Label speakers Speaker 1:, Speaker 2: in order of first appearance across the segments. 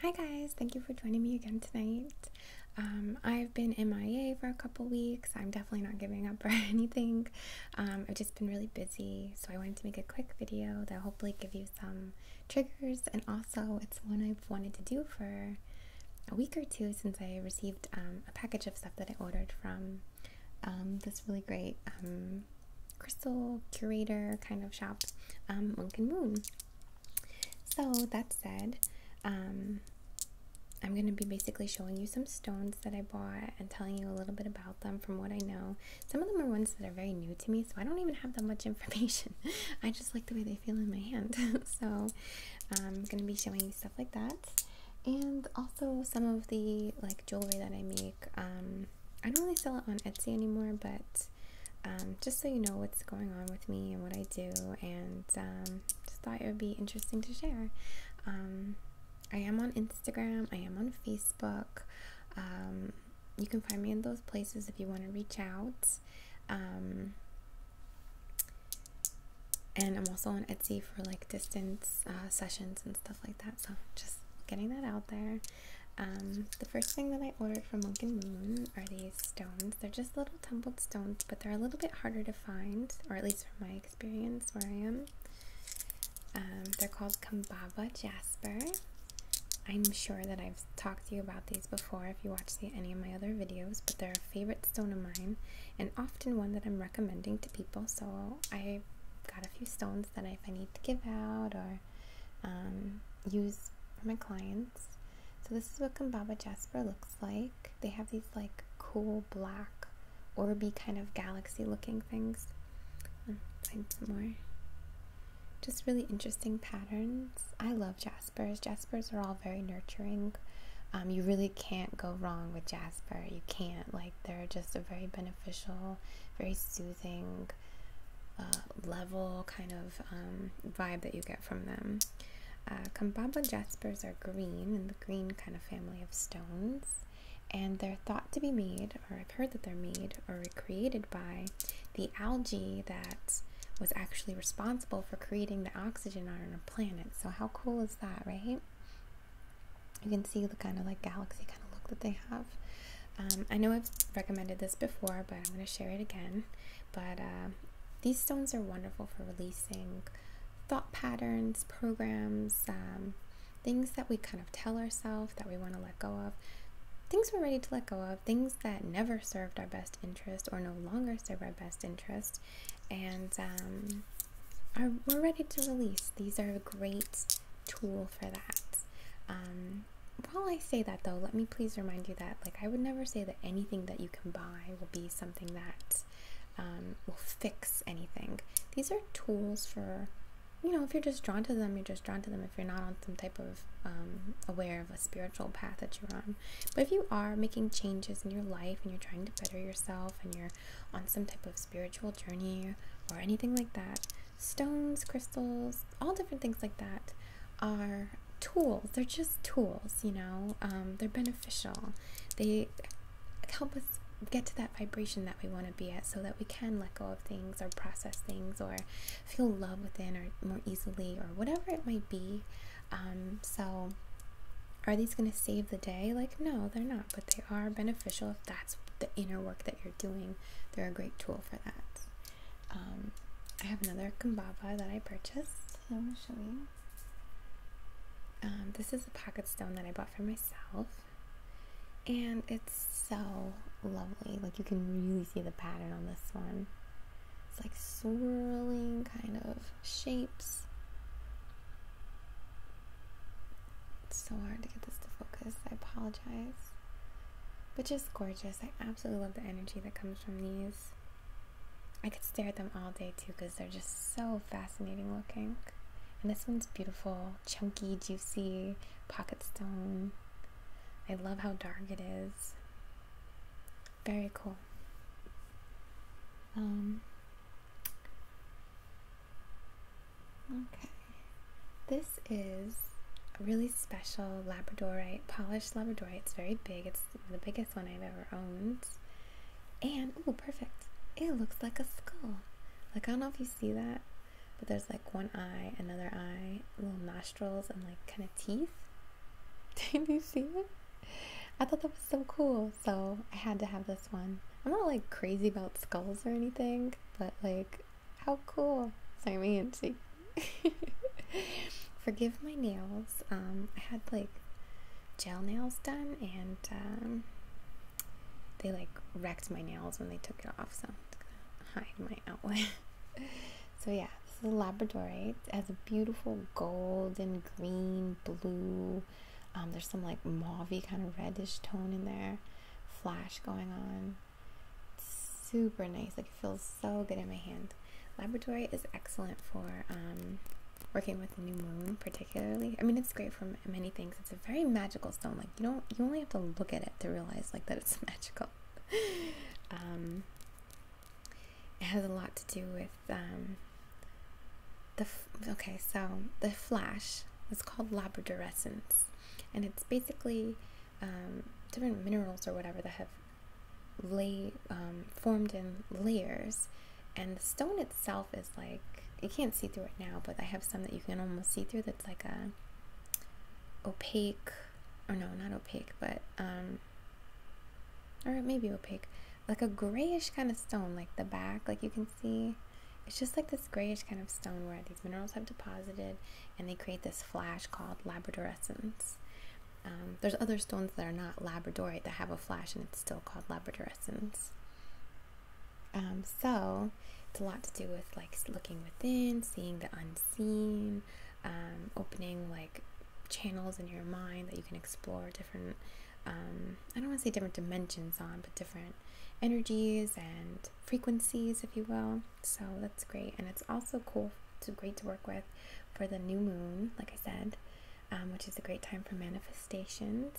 Speaker 1: Hi guys, thank you for joining me again tonight. Um, I've been MIA for a couple weeks. I'm definitely not giving up for anything. Um, I've just been really busy, so I wanted to make a quick video that hopefully give you some triggers. And also, it's one I've wanted to do for a week or two since I received um, a package of stuff that I ordered from this really great crystal curator kind of shop, Monk and Moon. So that said, um, I'm going to be basically showing you some stones that I bought and telling you a little bit about them from what I know. Some of them are ones that are very new to me, so I don't even have that much information. I just like the way they feel in my hand. so I'm going to be showing you stuff like that. And also some of the like jewelry that I make. Um, I don't really sell it on Etsy anymore, but um, just so you know what's going on with me and what I do, and um, just thought it would be interesting to share. Um, I am on Instagram, I am on Facebook. you can find me in those places if you want to reach out. and I'm also on Etsy for like distance uh, sessions and stuff like that. So just getting that out there. Um, the first thing that I ordered from Lincoln Moon are these stones. They're just little tumbled stones, but they're a little bit harder to find, or at least from my experience where I am. Um, they're called Kambaba Jasper. I'm sure that I've talked to you about these before if you watch any of my other videos, but they're a favorite stone of mine and often one that I'm recommending to people. So I've got a few stones that if I need to give out or um, use for my clients, so this is what Kambaba Jasper looks like. They have these like cool black orby kind of galaxy looking things. Find some more. Just really interesting patterns. I love jaspers. Jaspers are all very nurturing. Um, you really can't go wrong with jasper. You can't. Like, they're just a very beneficial, very soothing uh, level kind of um, vibe that you get from them. Uh, Kambaba jaspers are green in the green kind of family of stones, and they're thought to be made, or I've heard that they're made or recreated by the algae that was actually responsible for creating the oxygen on our planet. So, how cool is that, right? You can see the kind of like galaxy kind of look that they have. Um, I know I've recommended this before, but I'm going to share it again. But uh, these stones are wonderful for releasing thought patterns, programs, um, things that we kind of tell ourselves that we want to let go of, things we're ready to let go of, things that never served our best interest or no longer serve our best interest, and um, we're ready to release. These are a great tool for that while I say that though, let me please remind you that like I would never say that anything that you can buy will be something that um, will fix anything. These are tools for you know if you're just drawn to them, you're just drawn to them. If you're not on some type of um, aware of a spiritual path that you're on, but if you are making changes in your life and you're trying to better yourself and you're on some type of spiritual journey or anything like that, stones, crystals, all different things like that are tools. They're just tools, you know. Um, they're beneficial. They help us get to that vibration that we want to be at so that we can let go of things or process things or feel love within or more easily or whatever it might be. Um, so, are these going to save the day? Like, no, they're not, but they are beneficial if that's the inner work that you're doing. They're a great tool for that. Um, I have another kumbaba that I purchased. I'm going to show you. Um, this is a pocket stone that I bought for myself. And it's so lovely. Like you can really see the pattern on this one. It's like swirling kind of shapes. It's so hard to get this to focus. I apologize. But just gorgeous. I absolutely love the energy that comes from these. I could stare at them all day too because they're just so fascinating looking. And this one's beautiful, chunky, juicy, pocket stone. I love how dark it is. Very cool. Um, okay. This this is a really special Labradorite, polished Labradorite. It's very big. It's the biggest one I've ever owned. And, oh, perfect. It looks like a skull. Like, I don't know if you see that, but there's like one eye, another eye, little nostrils, and like kind of teeth. Did you see it? I thought that was so cool, so I had to have this one. I'm not like crazy about skulls or anything, but like, how cool. So I'm Sorry, my handshake. Forgive my nails. Um, I had like gel nails done, and um, they like wrecked my nails when they took it off, so hide my outline. so yeah, this is a labradorite. It has a beautiful golden green, blue. Um, there's some like mauvey kind of reddish tone in there, flash going on super nice. Like it feels so good in my hand. Labradorite is excellent for um, working with the new moon, particularly. I mean, it's great for many things. It's a very magical stone. Like you don't, you only have to look at it to realize like that it's magical. Um, it has a lot to do with um, the. okay, so the flash is called labradorescence, and it's basically um, different minerals or whatever that have lay um, formed in layers, and the stone itself is like you can't see through it now, but I have some that you can almost see through. That's like a opaque, or no, not opaque, but um, or it opaque, like a grayish kind of stone, like the back, like you can see. It's just like this grayish kind of stone where these minerals have deposited, and they create this flash called labradorescence. Um, there's other stones that are not labradorite that have a flash and it's still called labradorescence. Um, so it's a lot to do with like looking within, seeing the unseen, um, opening like channels in your mind that you can explore different, I don't want to say different dimensions on, but different energies and frequencies, if you will. So that's great. And it's also cool so great to work with for the new moon, like I said, um, which is a great time for manifestations.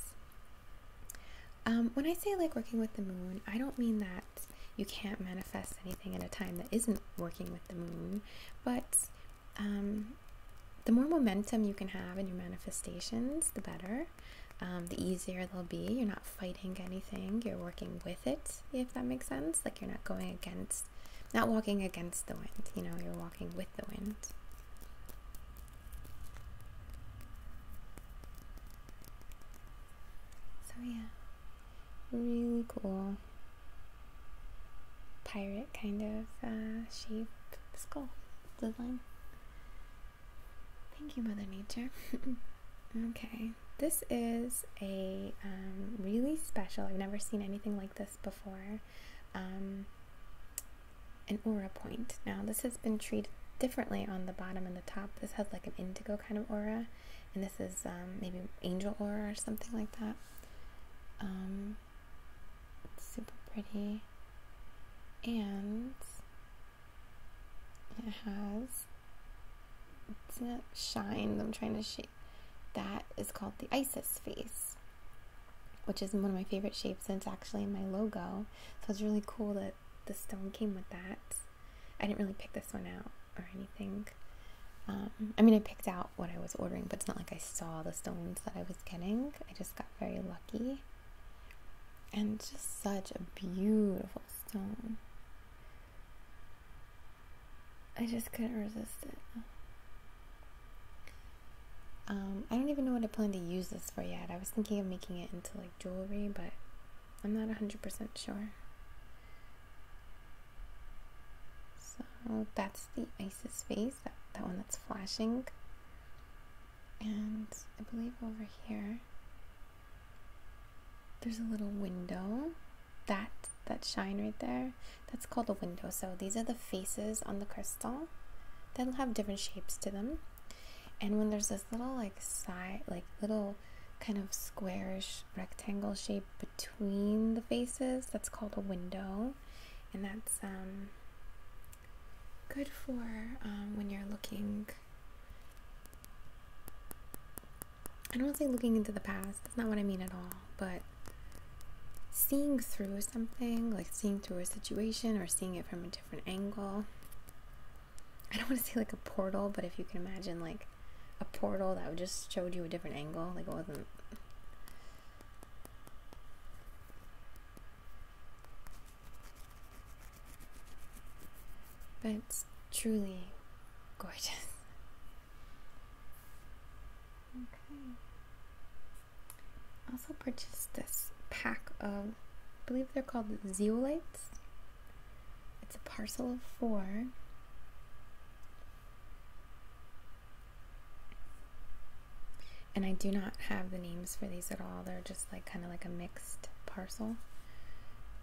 Speaker 1: Um, when I say like working with the moon, I don't mean that you can't manifest anything at a time that isn't working with the moon, but um, the more momentum you can have in your manifestations, the better. the easier they'll be. You're not fighting anything, you're working with it, if that makes sense you're not going against, not walking against the wind, you know, you're walking with the wind. So, yeah, really cool pirate kind of uh, shape skull design. Thank you, Mother Nature. okay this is a um, really special, I've never seen anything like this before, um, an aura point. Now, this has been treated differently on the bottom and the top. This has like an indigo kind of aura, and this is um, maybe angel aura or something like that. super pretty, and it has it's not shine I'm trying to shape that is called the Isis face which is one of my favorite shapes and it's actually my logo so it's really cool that the stone came with that I didn't really pick this one out or anything um, I mean I picked out what I was ordering but it's not like I saw the stones that I was getting I just got very lucky and just such a beautiful stone I just couldn't resist it. Um, I don't even know what I plan to use this for yet. I was thinking of making it into like jewelry, but I'm not 100% sure. So that's the Isis face, that, that one that's flashing. And I believe over here, there's a little window that that shine right there that's called a window so these are the faces on the crystal that'll have different shapes to them and when there's this little like side like little kind of squarish rectangle shape between the faces that's called a window and that's um, good for um, when you're looking I don't want to say looking into the past, that's not what I mean at all, but seeing through something, like seeing through a situation or seeing it from a different angle. I don't want to say like a portal, but if you can imagine like a portal that just showed you a different angle, like it wasn't. But truly gorgeous. Okay. Also purchased this pack of, I believe they're called zeolites. It's a parcel of four. And I do not have the names for these at all. They're just like kind of like a mixed parcel.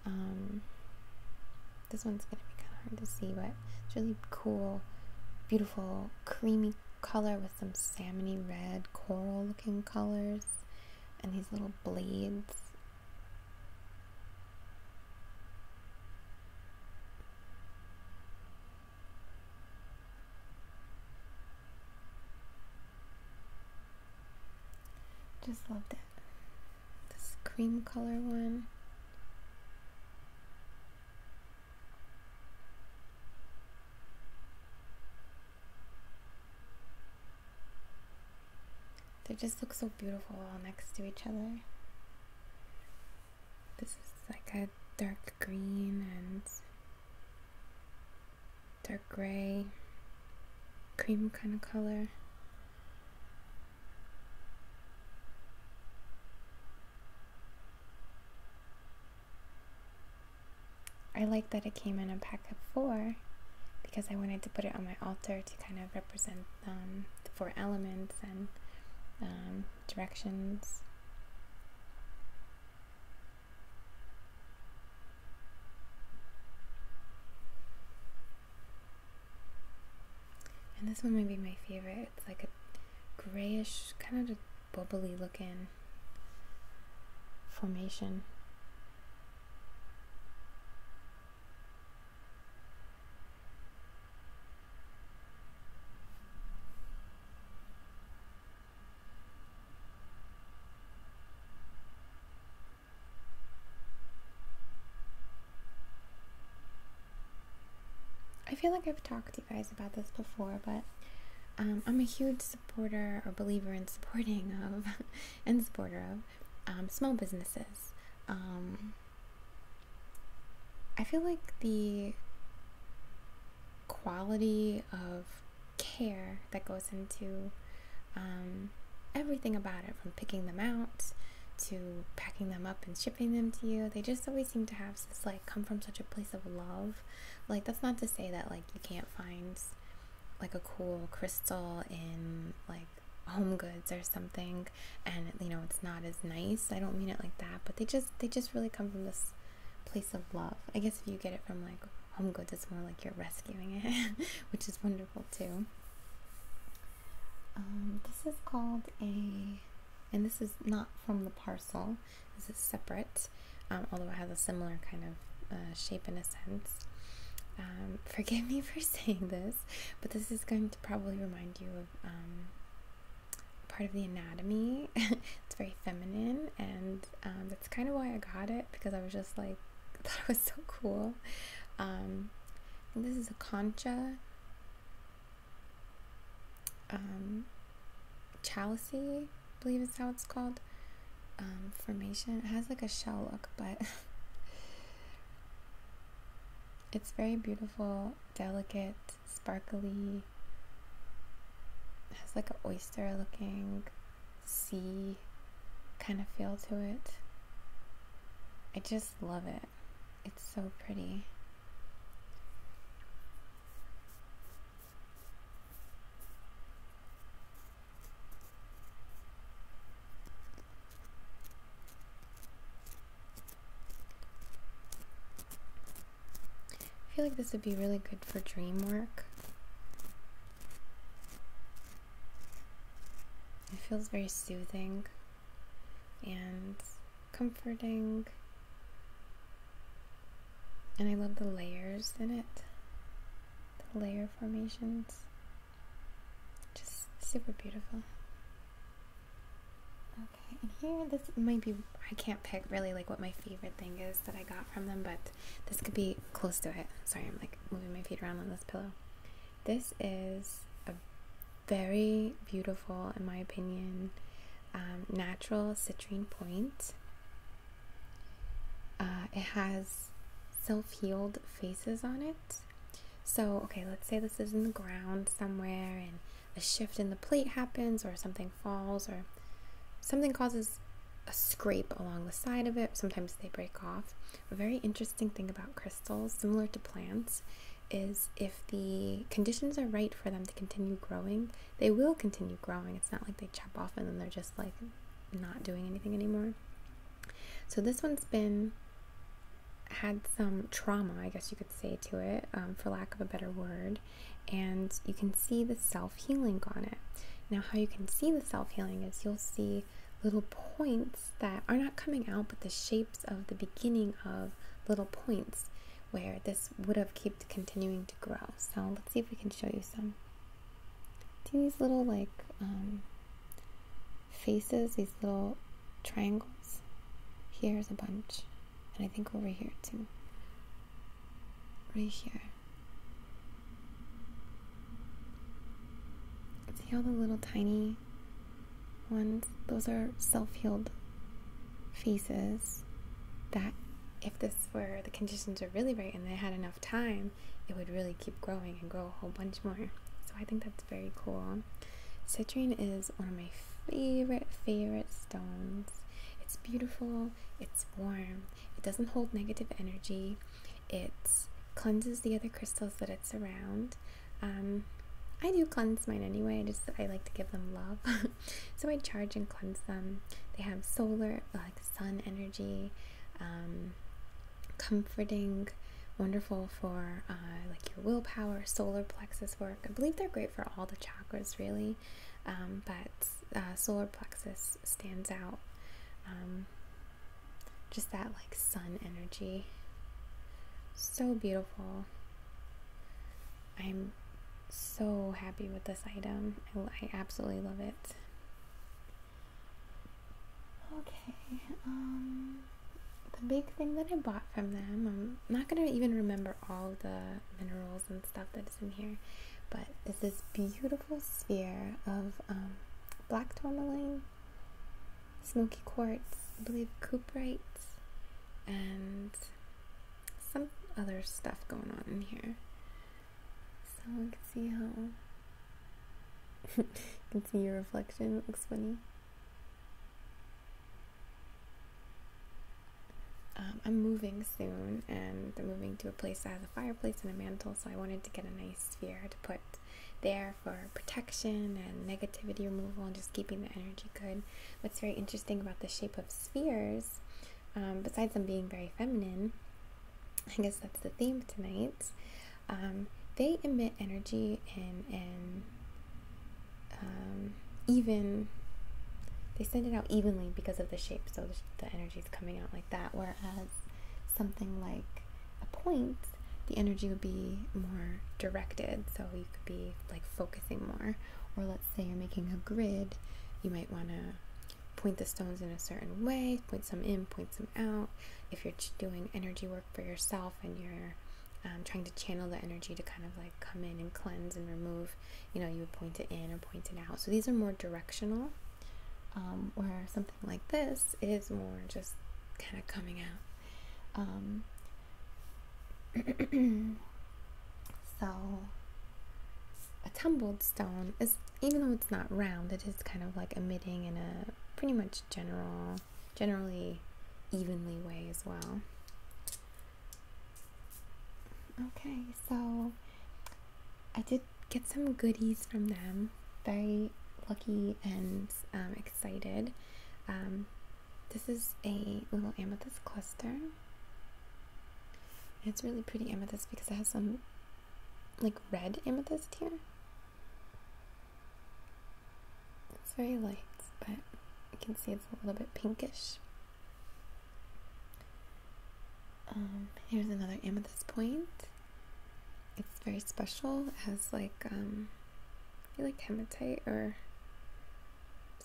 Speaker 1: Um, this one's gonna be kind of hard to see, but it's really cool, beautiful, creamy color with some salmony red coral looking colors and these little blades. Just loved it. This cream color one. They just look so beautiful all next to each other. This is like a dark green and dark gray, cream kind of color. I like that it came in a pack of four because I wanted to put it on my altar to kind of represent um, the four elements and um, directions. And this one might be my favorite. It's like a grayish, kind of bubbly looking formation. I feel like I've talked to you guys about this before, but um, I'm a huge supporter or believer in supporting of and supporter of um, small businesses. Um, I feel like the quality of care that goes into everything about it from picking them out to packing them up and shipping them to you. They just always seem to have this like come from such a place of love. Like that's not to say that like you can't find like a cool crystal in like home goods or something and you know it's not as nice. I don't mean it like that, but they just they just really come from this place of love. I guess if you get it from like home goods it's more like you're rescuing it, which is wonderful too. Um, this is called a, and this is not from the parcel, this is separate, um, although it has a similar kind of uh, shape in a sense. Um, forgive me for saying this, but this is going to probably remind you of part of the anatomy. it's very feminine, and that's kind of why I got it because I was just like, I thought it was so cool. this is a concha um, Chalicy, I believe is how it's called, um, formation. It has like a shell look, but it's very beautiful, delicate, sparkly. It has like an oyster looking sea kind of feel to it. I just love it. It's so pretty. I feel like this would be really good for dream work. It feels very soothing and comforting. And I love the layers in it, the layer formations. Just super beautiful. Okay, and here, this might be, I can't pick really like what my favorite thing is that I got from them, but this could be close to it. Sorry, I'm like moving my feet around on this pillow. This is a very beautiful, in my opinion, um, natural citrine point. Uh, it has self healed faces on it. So, okay, let's say this is in the ground somewhere and a shift in the plate happens or something falls or something causes a scrape along the side of it. Sometimes they break off. A very interesting thing about crystals, similar to plants, is if the conditions are right for them to continue growing, they will continue growing. It's not like they chop off and then they're just like not doing anything anymore. So this one's been had some trauma, I guess you could say, to it, um, for lack of a better word, and you can see the self healing on it. Now, how you can see the self healing is you'll see little points that are not coming out, but the shapes of the beginning of little points where this would have kept continuing to grow. So let's see if we can show you some. See these little like um, faces, these little triangles? Here's a bunch. And I think over here too. Right here. See all the little tiny ones, those are self healed faces that if this were the conditions are really right and they had enough time, it would really keep growing and grow a whole bunch more. So I think that's very cool. Citrine is one of my favorite, favorite stones. It's beautiful, it's warm, it doesn't hold negative energy, it cleanses the other crystals that it's around, um, I do cleanse mine anyway. I just I like to give them love, so I charge and cleanse them. They have solar, like sun energy, um, comforting, wonderful for uh, like your willpower, solar plexus work. I believe they're great for all the chakras, really, um, but uh, solar plexus stands out. Um, just that like sun energy. So beautiful. I'm so happy with this item. I, absolutely love it. Okay, um, the big thing that I bought from them, I'm not going to even remember all the minerals and stuff that's in here, but it's this beautiful sphere of um, black tourmaline smoky quartz, I believe cuprite, and some other stuff going on in here. So you can see how you can see your reflection. It looks funny. Um, I'm moving soon, and I'm moving to a place that has a fireplace and a mantle, so I wanted to get a nice sphere to put there for protection and negativity removal and just keeping the energy good. What's very interesting about the shape of spheres, um, besides them being very feminine, I guess that's the theme tonight, um, they emit energy and, and um, even, they send it out evenly because of the shape, so the energy is coming out like that, whereas something like a point, the energy would be more directed. So you could be like focusing more. Or let's say you're making a grid, you might want to point the stones in a certain way, point some in, point some out. If you're doing energy work for yourself and you're um, trying to channel the energy to kind of like come in and cleanse and remove, you know, you would point it in or point it out. So these are more directional, um, where something like this is more just kind of coming out. Um, so a tumbled stone is even though it's not round, it is kind of like emitting in a pretty much general, generally evenly way as well. Okay, so I did get some goodies from them. Very lucky and um, excited. Um, this is a little amethyst cluster. It's really pretty amethyst because it has some like red amethyst here. It's very light, but you can see it's a little bit pinkish. Um, here's another amethyst point. It's very special. It has like um, I feel like hematite or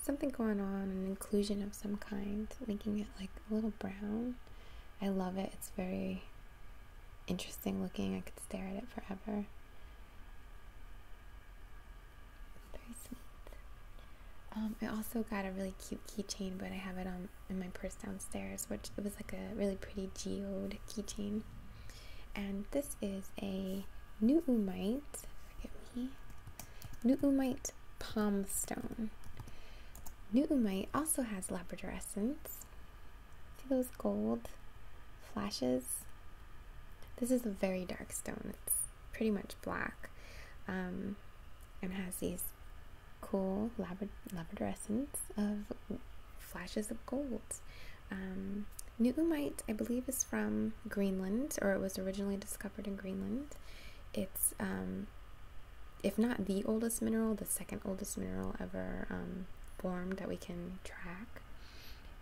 Speaker 1: something going on, an inclusion of some kind, making it like a little brown. I love it. It's very interesting looking. I could stare at it forever. Very sweet. Um, I also got a really cute keychain, but I have it on in my purse downstairs, which it was like a really pretty geode keychain. And this is a Nuumite, forgive me, Nuumite palm stone. Nuumite also has labradorescence. See those gold flashes? This is a very dark stone. It's pretty much black um, and has these cool labradoressence of flashes of gold. Um, New Umite, I believe, is from Greenland, or it was originally discovered in Greenland. It's, um, if not the oldest mineral, the second oldest mineral ever um, formed that we can track.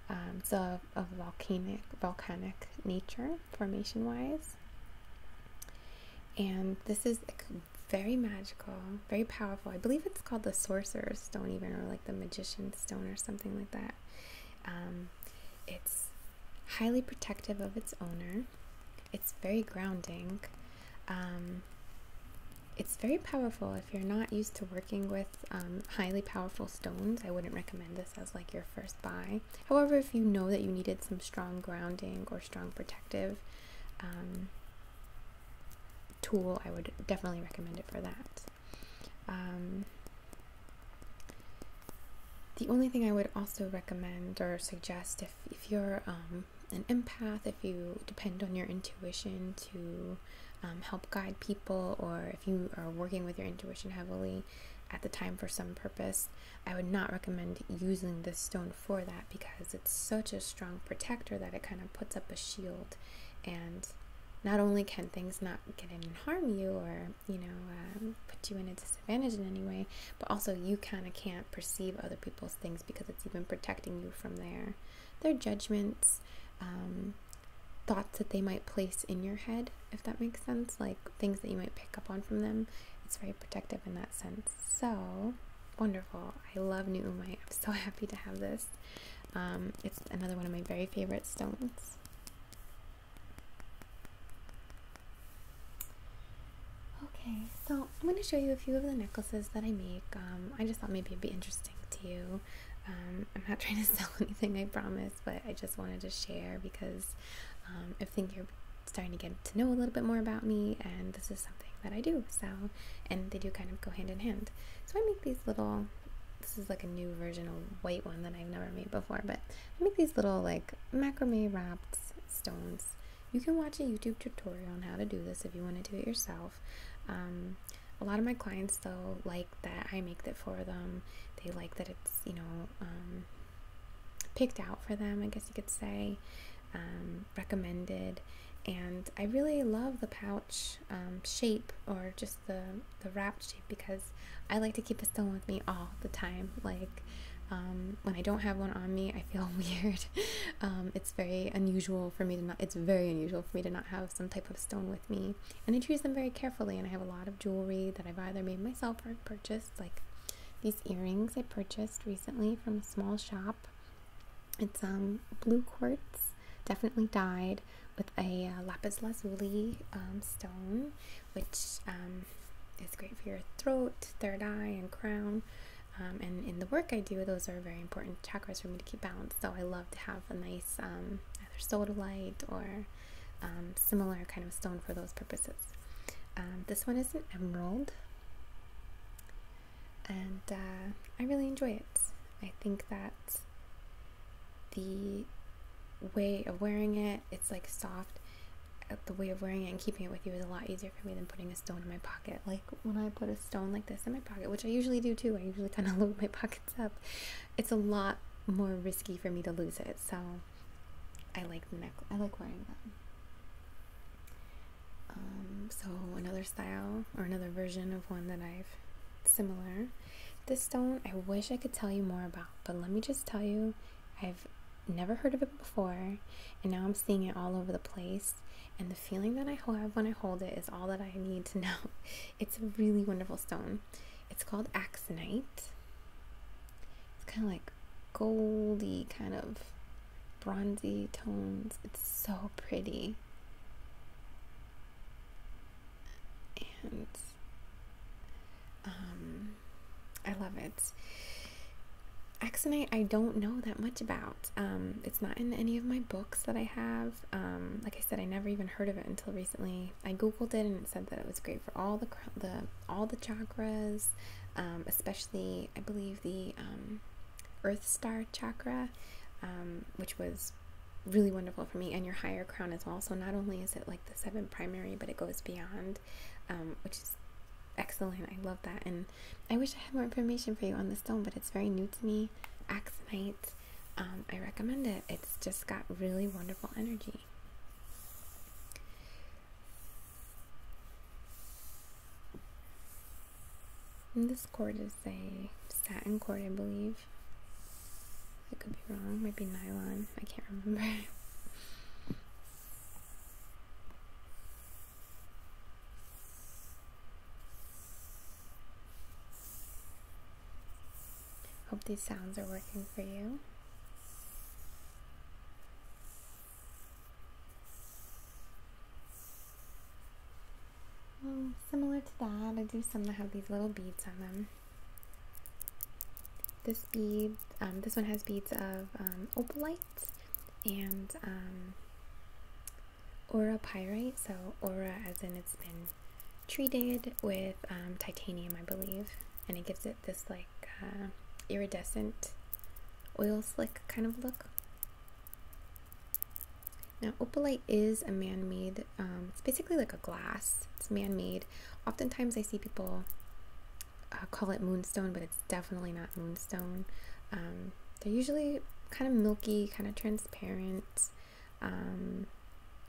Speaker 1: Um, it's a, volcanic, volcanic nature, formation-wise. And this is very magical, very powerful. I believe it's called the Sorcerer's Stone, even, or like the Magician Stone or something like that. Um, it's highly protective of its owner. It's very grounding. Um, it's very powerful. If you're not used to working with um, highly powerful stones, I wouldn't recommend this as like your first buy. However, if you know that you needed some strong grounding or strong protective tool, I would definitely recommend it for that. Um, the only thing I would also recommend or suggest if, if you're um, an empath, if you depend on your intuition to um, help guide people, or if you are working with your intuition heavily at the time for some purpose, I would not recommend using this stone for that because it's such a strong protector that it kind of puts up a shield and not only can things not get in and harm you or you know um, put you in a disadvantage in any way but also you kind of can't perceive other people's things because it's even protecting you from their their judgments um, thoughts that they might place in your head if that makes sense like things that you might pick up on from them it's very protective in that sense so wonderful i love new umite i'm so happy to have this um, it's another one of my very favorite stones. Okay, so I'm going to show you a few of the necklaces that I make. Um, I just thought maybe it'd be interesting to you. Um, I'm not trying to sell anything, I promise, but I just wanted to share because I think you're starting to get to know a little bit more about me, and this is something that I do. So, and they do kind of go hand in hand. So I make these little this is like a new version of white one that I've never made before, but I make these little like macrame wrapped stones. You can watch a YouTube tutorial on how to do this if you want to do it yourself. Um, a lot of my clients though like that I make it for them. They like that it's you know um, picked out for them, I guess you could say, um, recommended. And I really love the pouch shape or just the the wrapped shape because I like to keep a stone with me all the time. Like um, when I don't have one on me, I feel weird. Um, it's very unusual for me to not. It's very unusual for me to not have some type of stone with me, and I choose them very carefully. And I have a lot of jewelry that I've either made myself or purchased, like these earrings I purchased recently from a small shop. It's um blue quartz, definitely dyed, with a uh, lapis lazuli um, stone, which um, is great for your throat, third eye, and crown. Um, and in the work I do, those are very important chakras for me to keep balanced. So I love to have a nice um, either sodalite or similar kind of stone for those purposes. this one is an emerald, and uh, I really enjoy it. I think that the way of wearing it, it's like soft. Uh, the way of wearing it and keeping it with you is a lot easier for me than putting a stone in my pocket. Like when I put a stone like this in my pocket, which I usually do too, I usually kind of load my pockets up. It's a lot more risky for me to lose it. So I like the necklace, I like wearing them. Um, so another style or another version of one that I've similar. This stone, I wish I could tell you more about, but let me just tell you, I've never heard of it before, and now I'm seeing it all over the place. And the feeling that I have when I hold it is all that I need to know. It's a really wonderful stone. It's called axonite. It's kind of like goldy, kind of bronzy tones. It's so pretty and um, I love it. Axonite, I don't know that much about. Um, it's not in any of my books that I have. Um, like I said, I never even heard of it until recently. I googled it and it said that it was great for all the the all the chakras, um, especially I believe the um, Earth Star chakra, um, which was really wonderful for me and your higher crown as well so not only is it like the seven primary but it goes beyond um, which is excellent i love that and i wish i had more information for you on the stone but it's very new to me axonite um, i recommend it it's just got really wonderful energy and this cord is a satin cord, I believe. I could be wrong, might be nylon, I can't remember. Hope these sounds are working for you. Well, similar to that, I do some that have these little beads on them. This bead, um, this one has beads of um, opalite and aura um, pyrite. So aura, as in it's been treated with titanium, I believe, and it gives it this like uh, iridescent oil slick kind of look. Now, opalite is a man made, um, it's basically like a glass, it's man made. Oftentimes, I see people uh, call it moonstone, but it's definitely not moonstone. Um, they're usually kind of milky, kind of transparent, um,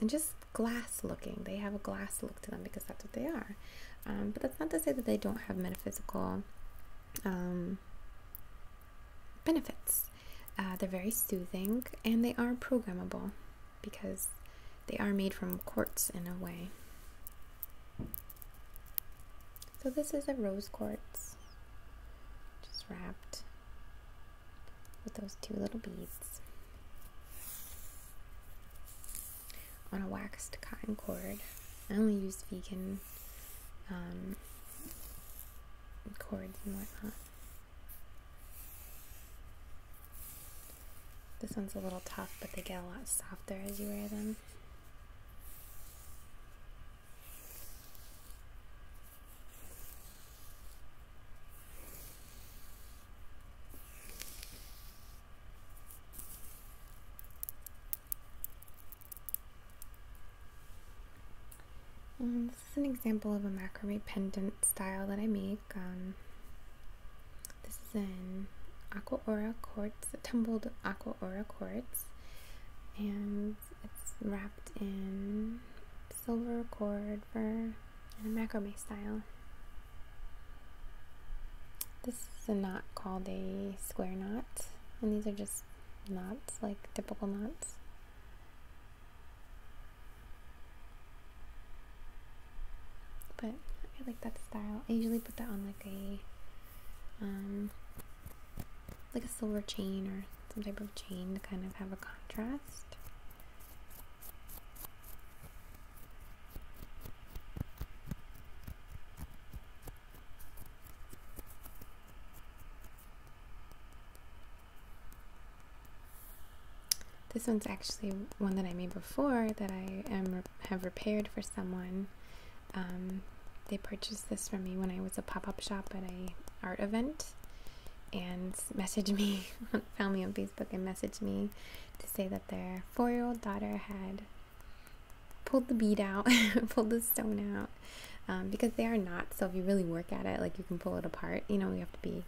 Speaker 1: and just glass looking. They have a glass look to them because that's what they are. but that's not to say that they don't have metaphysical benefits. Uh, they're very soothing and they are programmable because they are made from quartz in a way. So this is a rose quartz, just wrapped with those two little beads on a waxed cotton cord. I only use vegan um, cords and whatnot. This one's a little tough, but they get a lot softer as you wear them this is an example of a macrame pendant style that I make. Um, this is in aqua aura quartz, tumbled aqua aura quartz, and it's wrapped in silver cord for a macrame style. This is a knot called a square knot, and these are just knots, like typical knots. But I like that style. I usually put that on like a, um, like a silver chain or some type of chain to kind of have a contrast. This one's actually one that I made before that I am have repaired for someone. Um, they purchased this from me when I was a pop-up shop at a art event and messaged me, found me on Facebook and messaged me to say that their four-year-old daughter had pulled the bead out, pulled the stone out, um, because they are not. So if you really work at it, like you can pull it apart. You know, you have to be,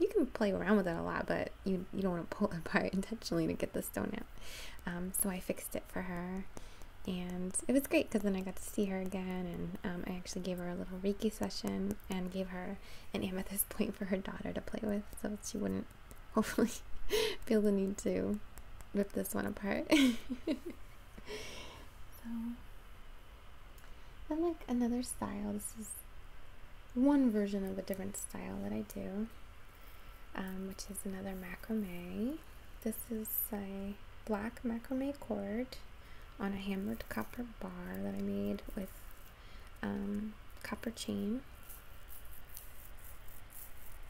Speaker 1: you can play around with it a lot, but you, you don't want to pull it apart intentionally to get the stone out. Um, so I fixed it for her. And it was great because then I got to see her again, and um, I actually gave her a little Reiki session and gave her an amethyst point for her daughter to play with, so she wouldn't hopefully feel the need to rip this one apart so then like another style this is one version of a different style that I do um, which is another macrame this is a black macrame cord on a hammered copper bar that I made with um, copper chain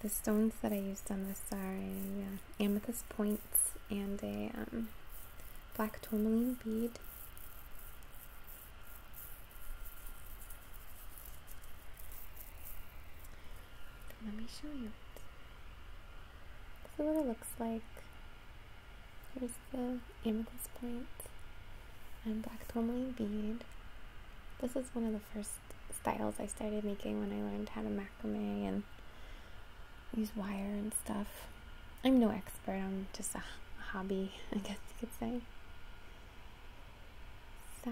Speaker 1: the stones that I used on this are uh, amethyst points and a um, black tourmaline bead. Let me show you This is what it looks like. Here's the amethyst point and black tourmaline bead. This is one of the first styles I started making when I learned how to macrame and use wire and stuff. I'm no expert, I'm just a hobby, I guess you could say. So,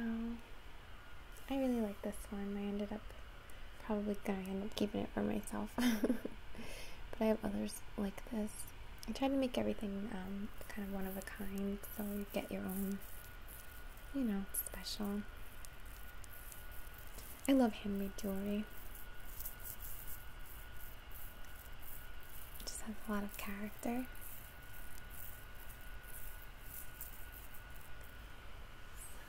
Speaker 1: I really like this one. I ended up probably gonna end up keeping it for myself. but I have others like this. I try to make everything um, kind of one of a kind so you get your own, you know, special I love handmade jewelry. just has a lot of character.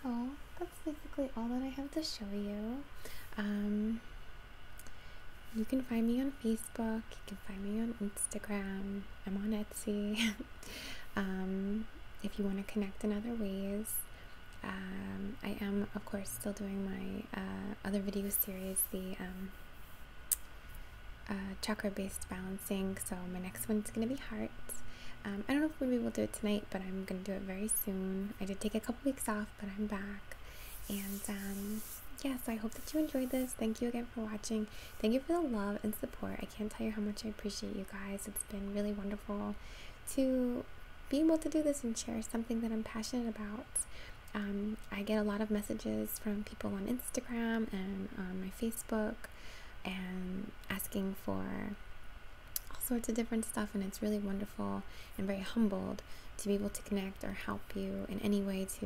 Speaker 1: So that's basically all that I have to show you. Um, you can find me on Facebook. You can find me on Instagram. I'm on Etsy. Um, if you want to connect in other ways. Um, I am, of course, still doing my uh, other video series, the um, uh, chakra based balancing. So, my next one is going to be hearts. Um, I don't know if we'll be able to do it tonight, but I'm going to do it very soon. I did take a couple weeks off, but I'm back. And um, yeah, so I hope that you enjoyed this. Thank you again for watching. Thank you for the love and support. I can't tell you how much I appreciate you guys. It's been really wonderful to be able to do this and share something that I'm passionate about. Um, I get a lot of messages from people on Instagram and on my Facebook and asking for all sorts of different stuff, and it's really wonderful and very humbled to be able to connect or help you in any way to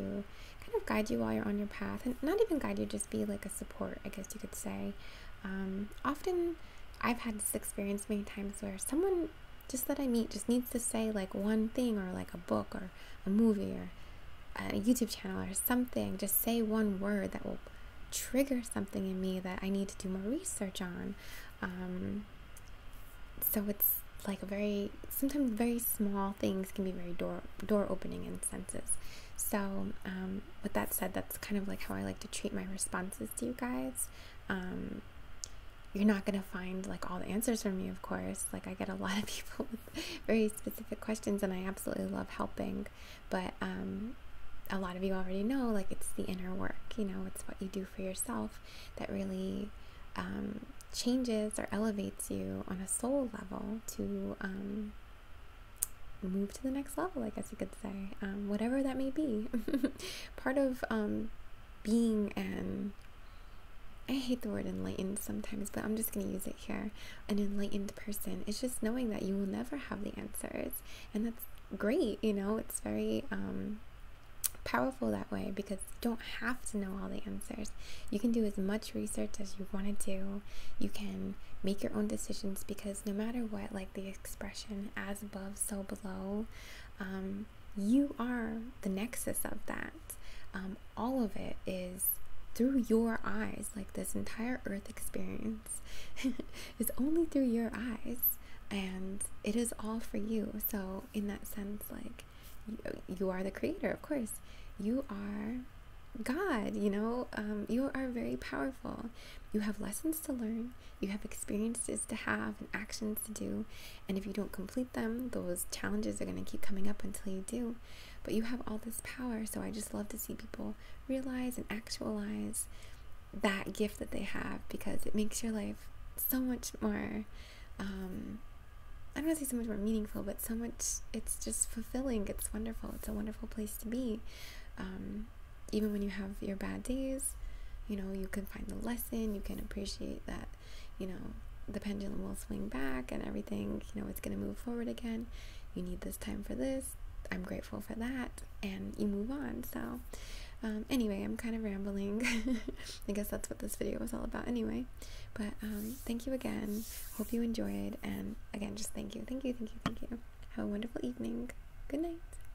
Speaker 1: kind of guide you while you're on your path and not even guide you, just be like a support, I guess you could say. Um, often, I've had this experience many times where someone just that I meet just needs to say like one thing or like a book or a movie or a YouTube channel or something. Just say one word that will trigger something in me that I need to do more research on. Um, so it's like a very sometimes very small things can be very door door opening in senses. So um, with that said, that's kind of like how I like to treat my responses to you guys. Um, you're not going to find like all the answers from me, of course. Like I get a lot of people with very specific questions, and I absolutely love helping. But um, a lot of you already know, like it's the inner work. You know, it's what you do for yourself that really um, changes or elevates you on a soul level to um, move to the next level. I guess you could say, um, whatever that may be. Part of um, being an, I hate the word enlightened sometimes, but I'm just going to use it here, an enlightened person is just knowing that you will never have the answers. And that's great, you know, it's very um, powerful that way because you don't have to know all the answers. You can do as much research as you want to do. You can make your own decisions because no matter what, like the expression as above, so below, um, you are the nexus of that. Um, all of it is through your eyes, like this entire earth experience is only through your eyes, and it is all for you. So, in that sense, like you, are the creator, of course, you are God, you know, um, you are very powerful. You have lessons to learn, you have experiences to have and actions to do. And if you don't complete them, those challenges are going to keep coming up until you do. But you have all this power. So I just love to see people realize and actualize that gift that they have because it makes your life so much more. Um, I don't want to say so much more meaningful, but so much, it's just fulfilling. It's wonderful. It's a wonderful place to be. Um, even when you have your bad days, you know, you can find the lesson, you can appreciate that, you know, the pendulum will swing back and everything, you know, it's going to move forward again. You need this time for this. I'm grateful for that. And you move on. So, um, anyway, I'm kind of rambling. I guess that's what this video was all about anyway. But um, thank you again. Hope you enjoyed. And again, just thank you. Thank you. Thank you. Thank you. Have a wonderful evening. Good night.